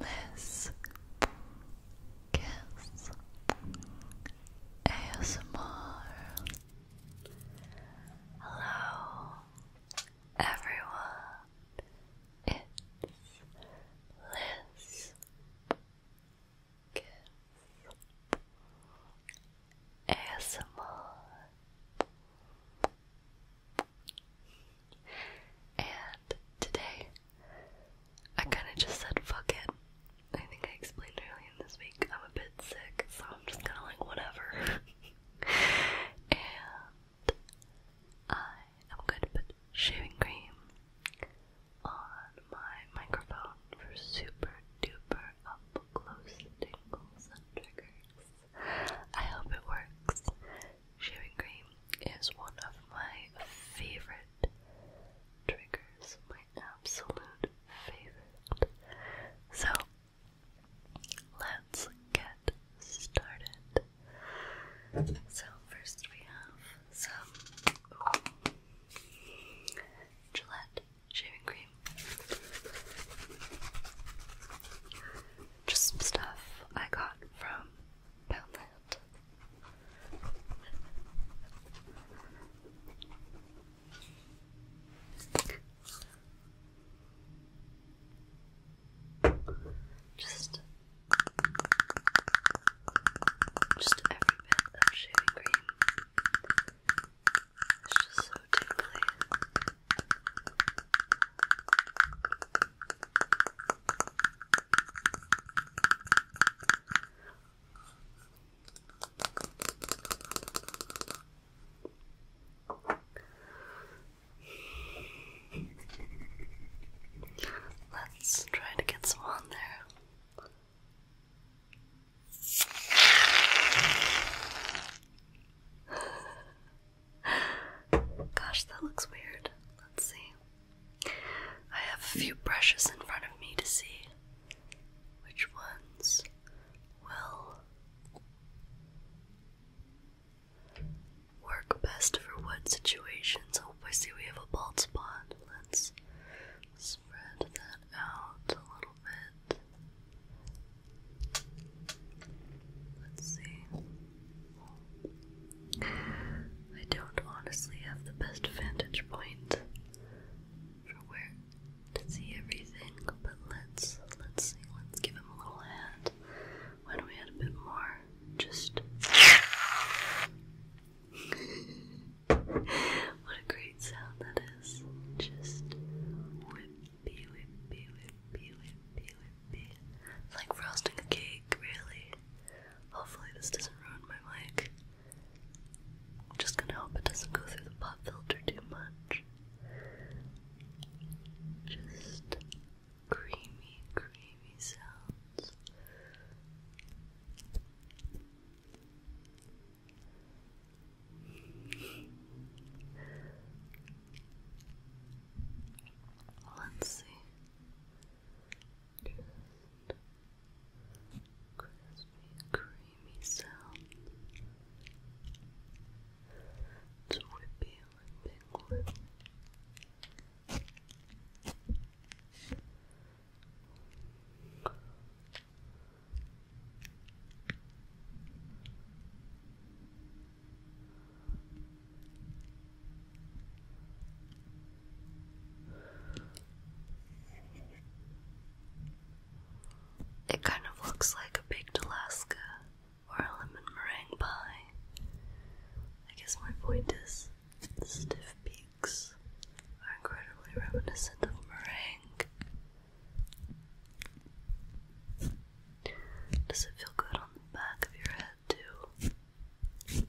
This Kiss ASMR. Hello, everyone. It's Liz Kiss ASMR. And today I kind of just said fuck it. I think I explained earlier in this week I'm a bit sick, so I'm just kind of like whatever. and I am going to put shaving cream on my microphone for super duper up close tingles and triggers. I hope it works. Shaving cream is one of my favorite triggers, my absolute favorite. So, let's get started. So, first we have some Gillette shaving cream. Just some stuff I got from Poundland that. Just, just every bit of shaving cream. It's just so tingly. Let's try to get some on there. Gosh, that looks weird. Let's see. I have a few brushes in front of me to see which ones will work best for what situations. Oh, I see we have a bald spot. Let's spread that out a little bit. Let's see. I don't honestly have the best vantage point for where to see everything, but let's let's let's give him a little hand. Why don't we add a bit more? Just what a great sound that is. Just whippy whippy whippy whippy whippy. like frosting a cake, really. Hopefully this doesn't ruin my mic. just gonna hope it doesn't go through the pop filter too much. Just creamy, creamy sounds. Let's see. Just crispy, creamy sound. It's whippy, whipping, it kind of looks like a baked Alaska or a lemon meringue pie. I guess my point is the stiff peaks are incredibly reminiscent of meringue. Does it feel good on the back of your head too?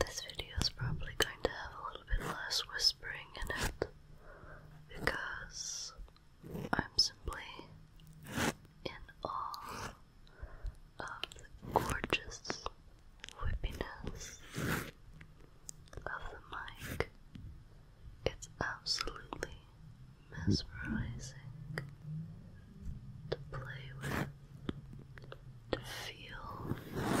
This video is probably going to have a little bit less whispering in it because I'm simply in awe of the gorgeous whippiness of the mic. It's absolutely mesmerizing to play with, to feel.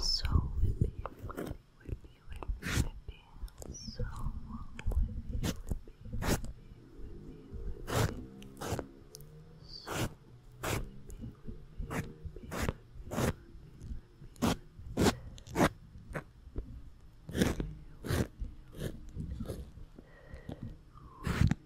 So whippy, whippy, whippy, whippy, whippy. So whippy, whippy, whippy, with whippy. So whippy, whippy, whippy, whippy, whippy, whippy. Whippy, whippy, whippy.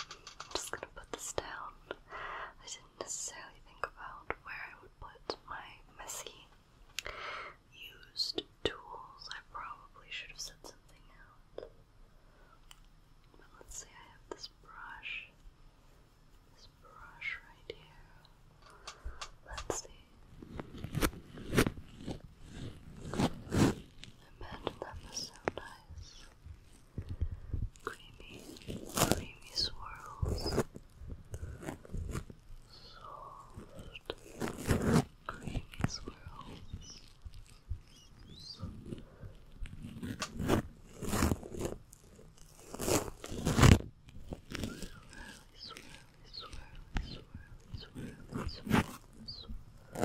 I'm just gonna put this down. I didn't necessarily think about where I would put my messy used tools. I probably should have said something out. But let's see, I have this brush. This brush right here. Let's see. Imagine that was so nice creamy, creamy swirls, soft, creamy swirls. Swirly, swirly, swirly, swirly, swirly, swirly, swirly,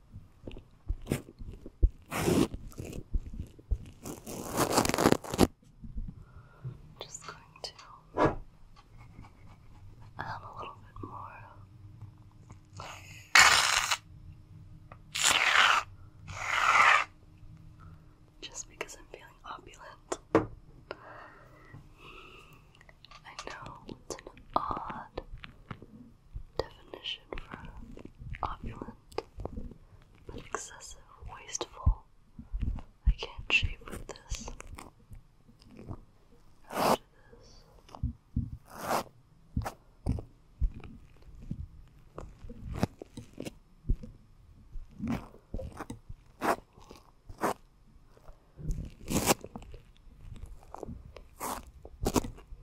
Just going to have a little bit more. Just because I'm feeling opulent. I know it's an odd definition for opulent, but excessive, wasteful. I can't shape with this. After this.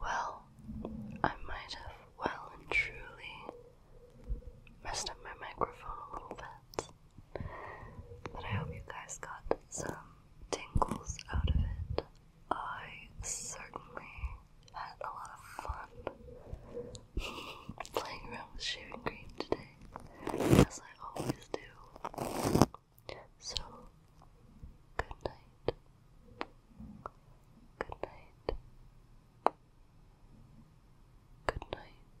Well, I might have well and truly messed up my microphone a little bit, but I hope you guys got some tingles out of it. I certainly had a lot of fun playing around with shaving cream today, as I always do. So, good night. Good night. Good night.